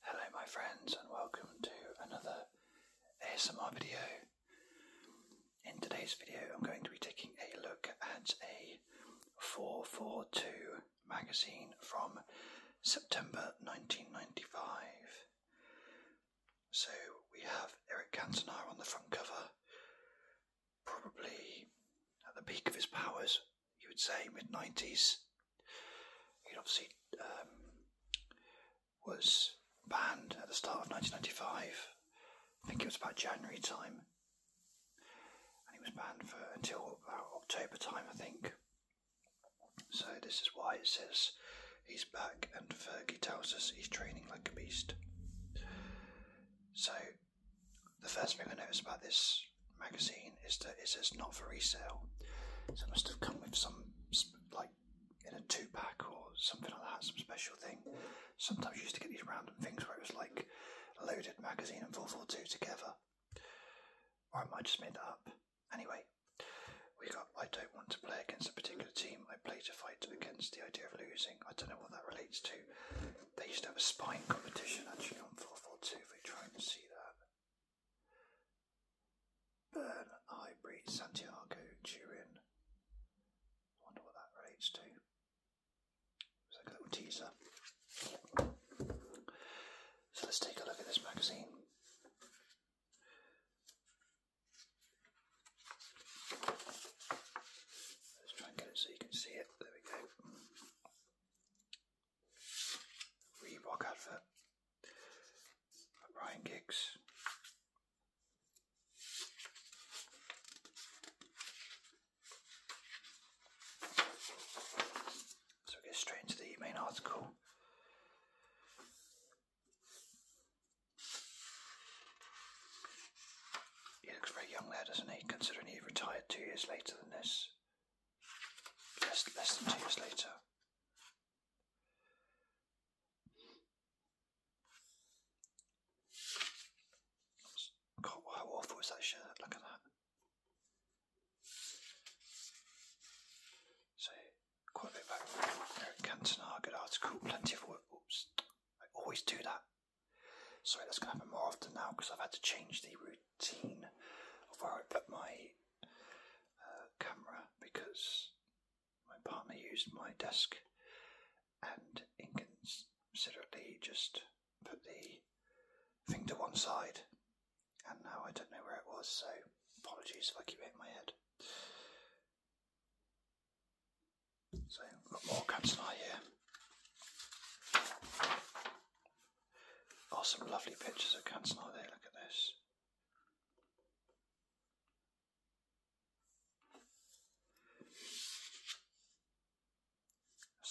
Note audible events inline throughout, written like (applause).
Hello, my friends, and welcome to another ASMR video. In today's video, I'm going to be taking a look at a 442 magazine from September 1995. So we have Eric Cantona on the front cover, probably at the peak of his powers, you would say mid 90s. It obviously um, was banned at the start of 1995. I think it was about January time, and he was banned for until about October time, I think. So this is why it says he's back, and Fergie tells us he's training like a beast. So the first thing I notice about this magazine is that it says not for resale. So it must have come with some, like, in a two pack or something like that, some special thing. Sometimes you used to get these random things where it was like loaded magazine and 442 together. Or I might just made that up. Anyway, we got I don't want to play against a particular team. I play to fight against the idea of losing. I don't know what that relates to. They used to have a spying competition actually on 442 if we try and see that. Burn, Highbury, Santiago, Turin. I wonder what that relates to. It's like a little teaser. So let's take a look at this magazine. Let's try and get it so you can see it. There we go. Reebok advert. Ryan Giggs. So we get straight into the main article. He looks very young there, doesn't he? Considering he retired two years later than this. less than two years later how awful is that shirt? Look at that. So, quite a bit back. Eric Cantona, good article, plenty of work. Oops, I always do that. Sorry, that's going to happen more often now because I've had to change the routine of where I put my uh, camera because my partner used my desk and inconsiderately just put the thing to one side and now I don't know where it was so apologies if I keep hitting my head. So got more cat's here. Oh, some lovely pictures of Kansnai there, look at this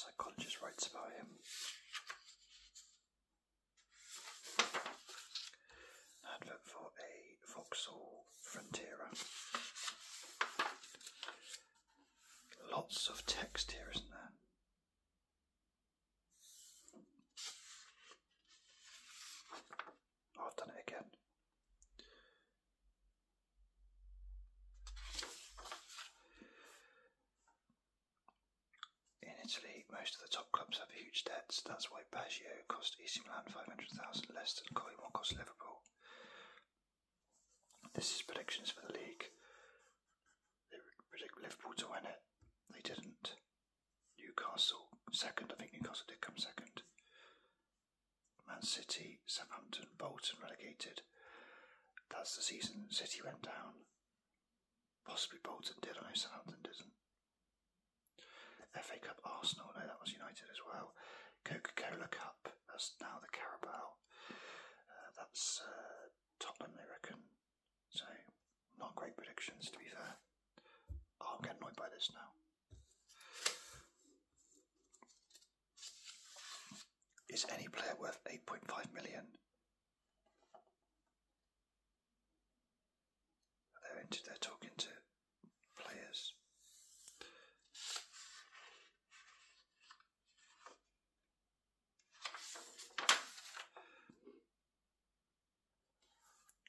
psychologist writes about him. advert for a Vauxhall Frontera. Lots of text here, isn't there? Oh, I've done it again. In Italy, most of the top clubs have huge debts. That's why Baggio cost AC Milan 500,000 less than Collymore cost Liverpool. This is predictions for the league. They predict Liverpool to win it. They didn't. Newcastle second. I think Newcastle did come second. Man City, Southampton, Bolton relegated. That's the season City went down. Possibly Bolton did. I know Southampton didn't. FA Cup, Arsenal. No, that was United as well. Coca Cola Cup. That's now the Carabao. Uh, that's uh, Tottenham. They reckon so, not great predictions to be fair. i will get annoyed by this now. Is any player worth 8.5 million? They're, into, they're talking to players.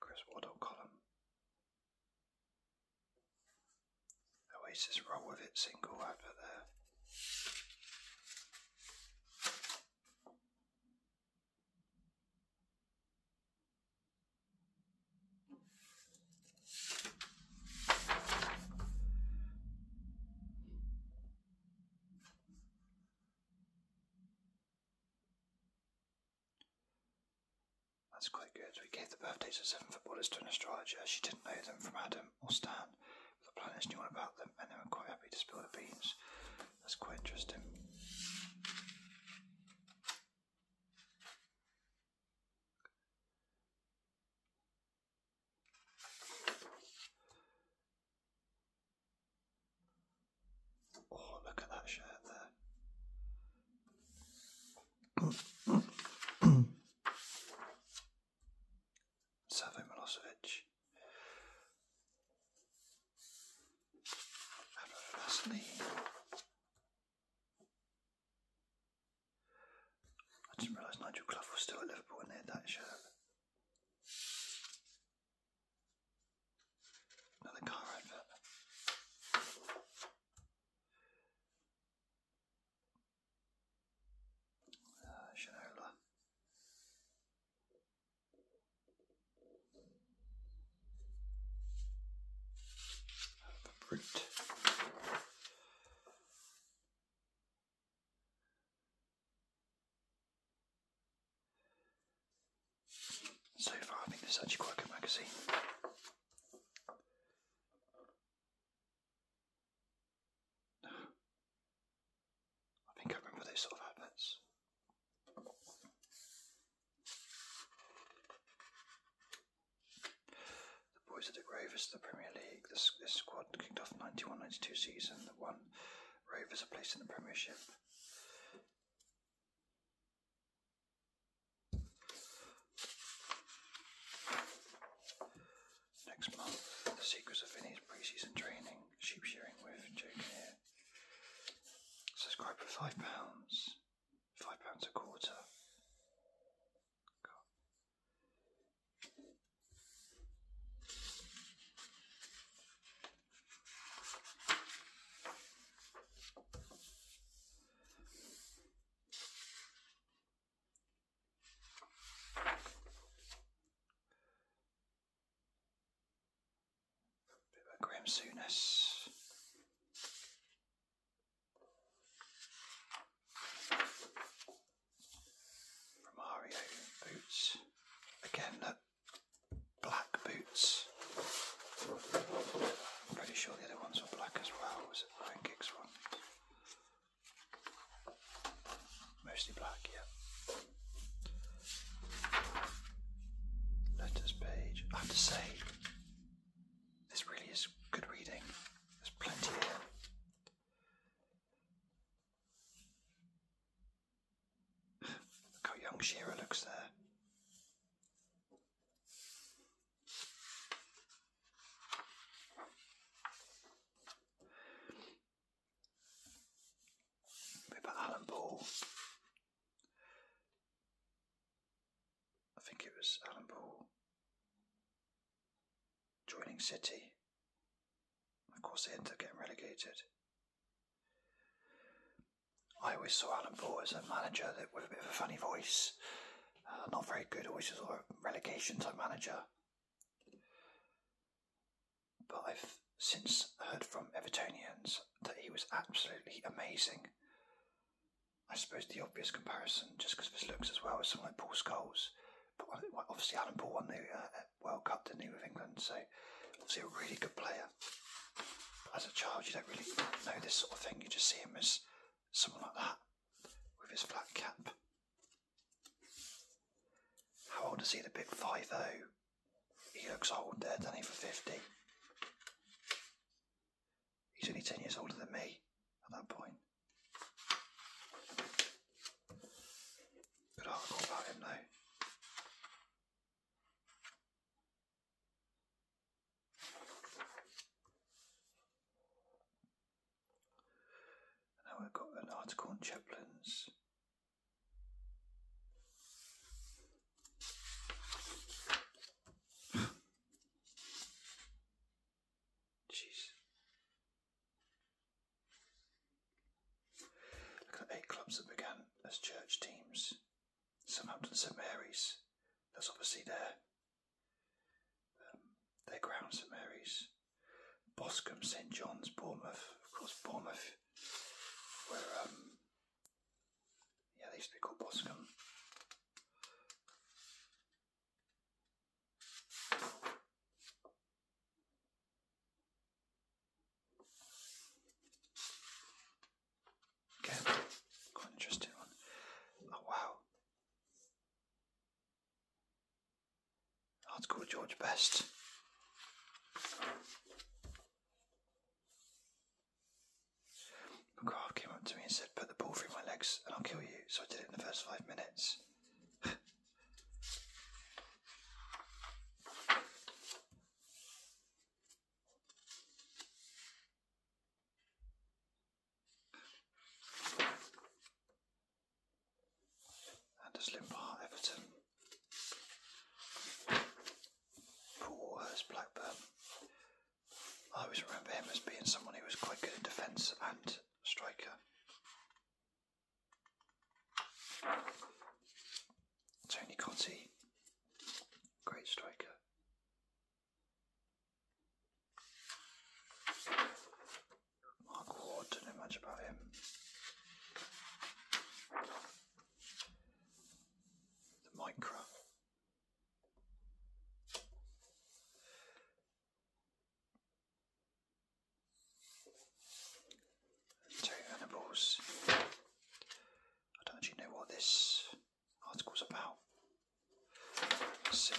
Chris Waddle column. Oasis oh, roll with it single over there. That's quite good. We gave the birthdays of seven footballers to an astrologer. She didn't know them from Adam or Stan, the planets knew all about them and they were quite happy to spill the beans. That's quite interesting. Oh, look at that shirt there. Savo Milosevic. I didn't realise Nigel Clough was still at when they had that shirt. Another car advert. Uh, Shinola. So far, I think this is actually quite a magazine. I think I remember those sort of adverts. The Boys of the Rovers, the Premier League. This, this squad kicked off 91 season. The one Rovers are placed in the Premiership. Next month, the secrets of Vinny's pre-season training, sheep shearing with Jake here. Subscribe for five pounds, five pounds a quarter. Bit of a From Mario Boots. Again, that black boots. I'm pretty sure the other ones were black as well, was it Iron Kicks one? Mostly black, yeah. Letters page. I have to say, this really is good reading. There's plenty here. Look how young Shearer looks there. about Alan Ball. I think it was Alan Ball joining City. Of course, they ended up getting relegated. I always saw Alan Ball as a manager that with a bit of a funny voice, uh, not very good, always a sort of relegation type manager. But I've since heard from Evertonians that he was absolutely amazing. I suppose the obvious comparison, just because of his looks as well, is someone like Paul Scholes. But obviously, Alan Paul won the uh, World Cup, didn't he, with England? So, obviously, a really good player as a child, you don't really know this sort of thing. You just see him as someone like that with his flat cap. How old is he? The big five oh. He looks old there, does For fifty. He's only ten years older than me at that point. Good article about him though. Now we've got an article on chaplains. Jeez. Look at eight clubs that began as church teams St. Southampton St Mary's, that's obviously their, um, their grounds. St Mary's. Boscombe, St John's, Bournemouth, of course, Bournemouth, where, um, yeah, they used to be called Boscombe. Again, quite interesting one. Oh wow. I'd go George Best. McGrath came up to me and said, Put the ball through my legs and I'll kill you. So I did it in the first five minutes. (laughs) Anders Limbaugh, Everton. Paul Waters, Blackburn. I always remember him as being someone who was quite good in defence and striker. Tony Cotti, Great striker. Mark Ward, don't know much about him. The Micra. Terry Venables. I don't actually know what this article's about. see.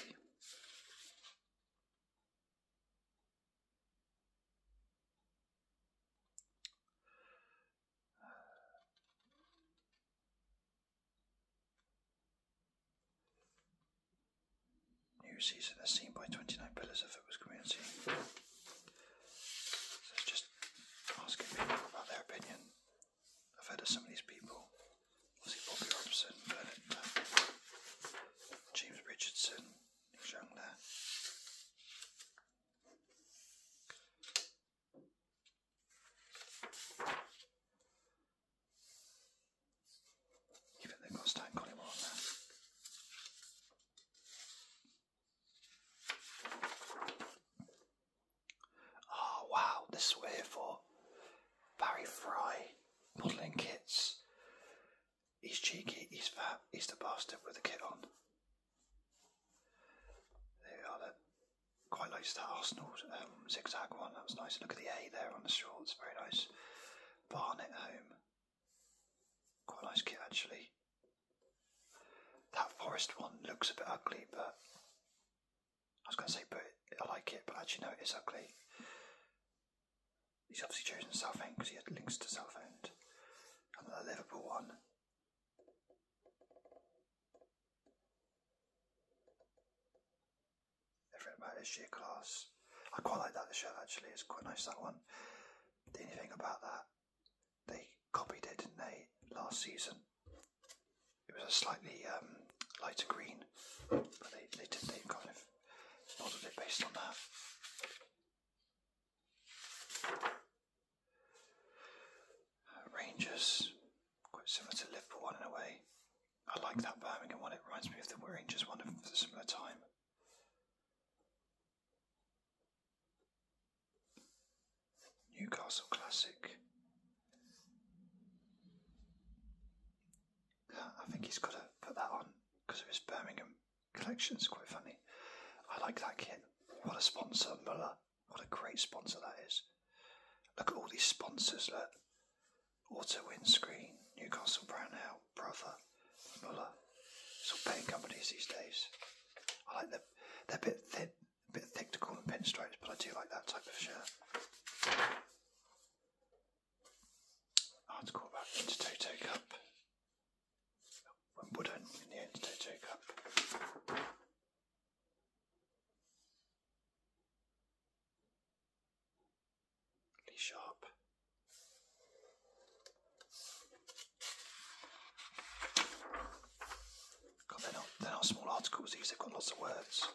New season as seen by 29 pillars of Football's community just asking people about their opinion. I've heard of some of these people. Bobby Robson, uh, James Richardson, Nick Young there. Even they've got Stan on there. Oh wow, this is we're here for. Barry Fry, modelling kits. He's cheeky, he's fat, he's the bastard with the kit on. There we are, quite nice that Arsenal um, zigzag one, that was nice. Look at the A there on the shorts, very nice. Barnet home. Quite nice kit actually. That forest one looks a bit ugly, but I was going to say, but I like it, but actually, no, it is ugly. He's obviously chosen Southend because he had links to Southend. And the Liverpool one. Everything about it is sheer class. I quite like that shirt actually, it's quite nice that one. The only thing about that they copied it, didn't they, last season? It was a slightly um, lighter green, but they, they did, they kind of modeled it based on that. Uh, Rangers, quite similar to Liverpool one in a way. I like that Birmingham one, it reminds me of the Rangers one of a similar time. Newcastle Classic. I think he's got to put that on because it was Birmingham collection's quite funny. I like that kit. What a sponsor, Muller. What a great sponsor that is. Look at all these sponsors, look. Auto Windscreen, Newcastle Brownell, Brother, Muller. It's paying companies these days. I like the, they're a bit thin a bit thick to call them pinstripes, but I do like that type of shirt. Article about the Intertoto Cup. Wimbledon in the Intertoto Cup. Lee Sharp. God, they're not, they're not small articles, these, they've got lots of words.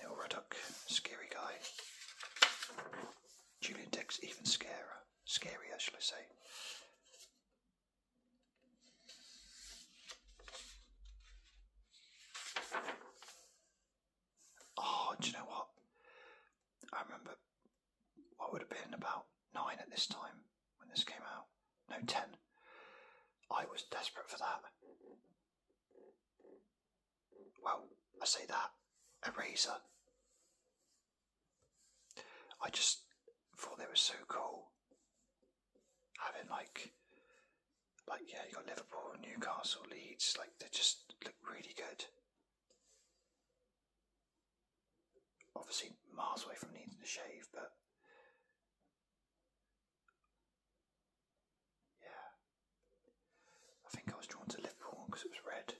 Neil Ruddock, scary guy. Julian Dix, even scarier. Scarier, shall I say. Oh, do you know what? I remember I would have been about nine at this time when this came out. No, ten. I was desperate for that. Well, I say that. Eraser. I just thought they were so cool. Having like, like yeah, you got Liverpool, Newcastle, Leeds. Like they just look really good obviously miles away from needing to shave, but yeah, I think I was drawn to Liverpool because it was red.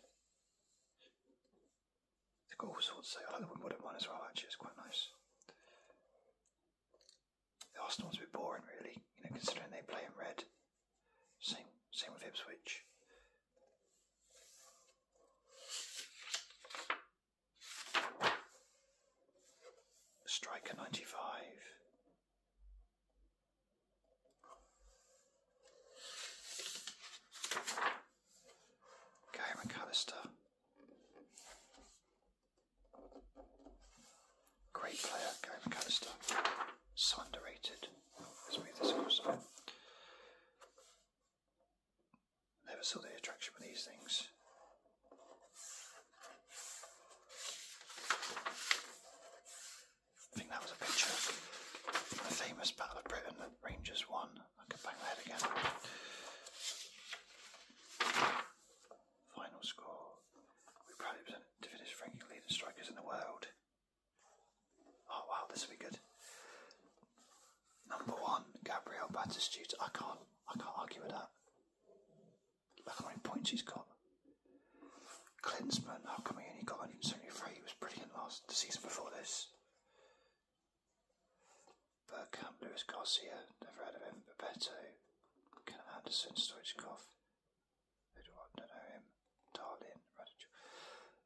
They've got all sorts. Of, I like the Wimbledon one as well. Actually, it's quite nice. The Arsenal's a bit boring, really, you know, considering they play in red. Same, same with switch. Striker 95. Gary McAllister. Great player, Gary McAllister. So underrated. Smooth this across Never saw the attraction with these things. I think that was a picture the famous Battle of Britain Rangers won. I can bang that again. Final score. We proudly present to finish ranking leading strikers in the world. Oh wow, this will be good. Number one, Gabriel Batistuta. I can't, I can't argue with that. Look how many points he's got. Klinsman, how come he only got 173? He was brilliant last the season before this. Burkham, Luis Garcia, never heard of him. Bebeto, Ken Anderson, Stoichkov,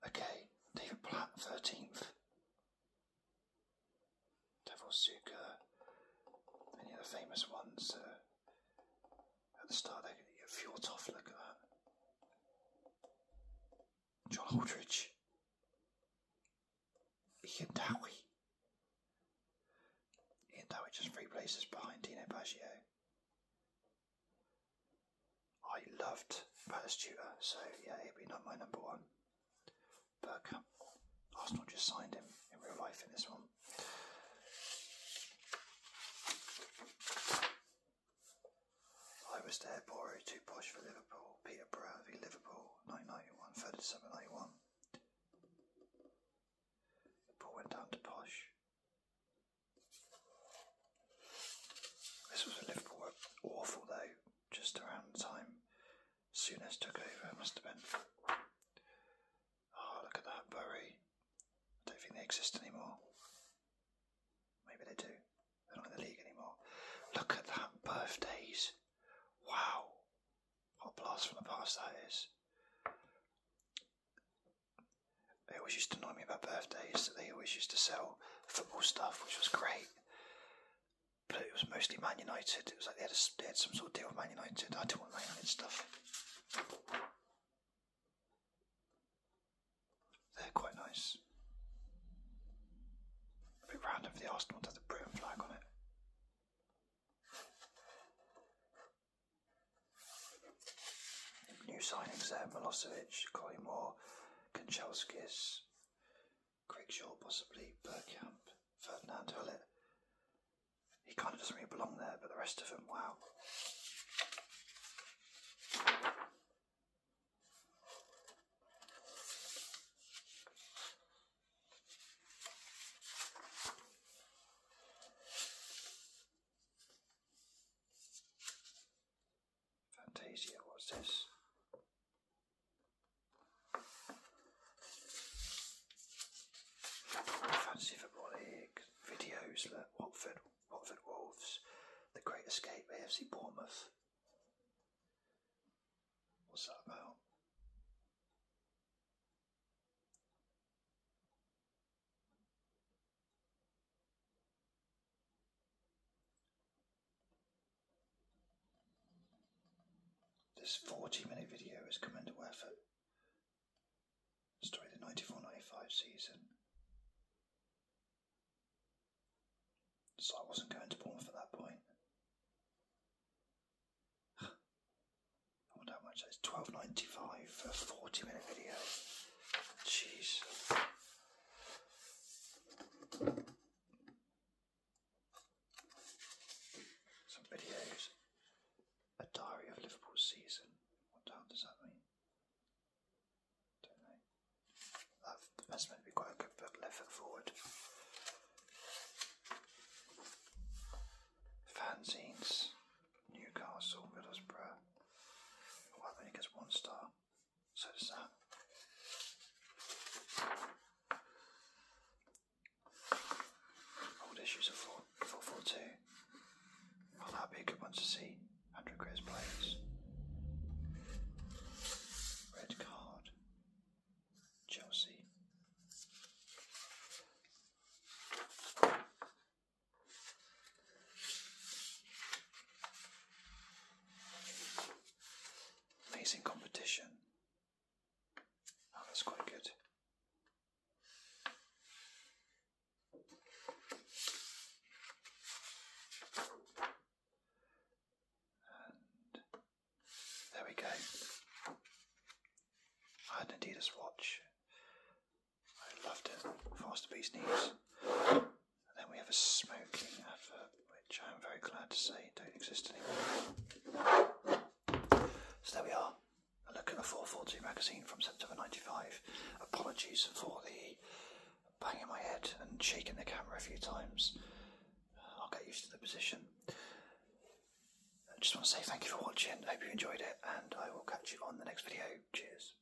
Okay, David Platt, 13th. Devil Suka, Any of the famous ones. Uh, at the start, they get off, look at that. John Aldridge. Ian Dowie. Ian Dowie just three places behind Dino Baggio. I loved Palace Tutor, so yeah, it would be not my number one. Burkham. Um, Arsenal just signed him in real life in this one. I was there, Boro, too posh for Liverpool. Peter Brown v Liverpool, 1991, 3rd December went down to Posh. This was a Liverpool awful though, just around the time Souness took over, must have been. Oh, look at that Bury. I don't think they exist anymore. Maybe they do. They're not in the league anymore. Look at that birthdays. Wow. What a blast from the past that is. They always used to annoy me about birthdays. They always used to sell football stuff, which was great. But it was mostly Man United. It was like they had, they had some sort of deal with Man United. I didn't want Man United stuff. They're quite nice. A bit random the Arsenal to the Britain flag on it. New signings there, Milosevic, Collymore, Craig Shaw, possibly, Burkamp, Ferdinand Hullett. He kind of doesn't really belong there, but the rest of them, wow. Fantasia, what's this? Fantasy Football League videos, look, Watford, Watford Wolves, The Great Escape, AFC Bournemouth. What's that about? This 40 minute video is commendable effort. Story of the 94 season. So I wasn't going to Bournemouth at that point. (sighs) I wonder how much that is. 12.95 for a 40 minute video. Jeez. Some videos. A diary of Liverpool season. What does that mean? Don't know. that's meant to be quite a good book, left foot forward. Fanzines. Newcastle, Middlesbrough. Well, that only gets one star. So does that. Old issues of 442. Well, that'd be a good one to see. Andrew Gray's Red card. Chelsea. Amazing competition. Oh, that's quite good. And there we go. I had an Adidas watch I loved it. Faster Beast News. And then we have a smoking advert, which I'm very glad to say don't exist anymore. So there we are. A look at the 442 magazine from September 95. Apologies for the banging my head and shaking the camera a few times. I'll get used to the position. I just want to say thank you for watching. Hope you enjoyed it, and I will catch you on the next video. Cheers.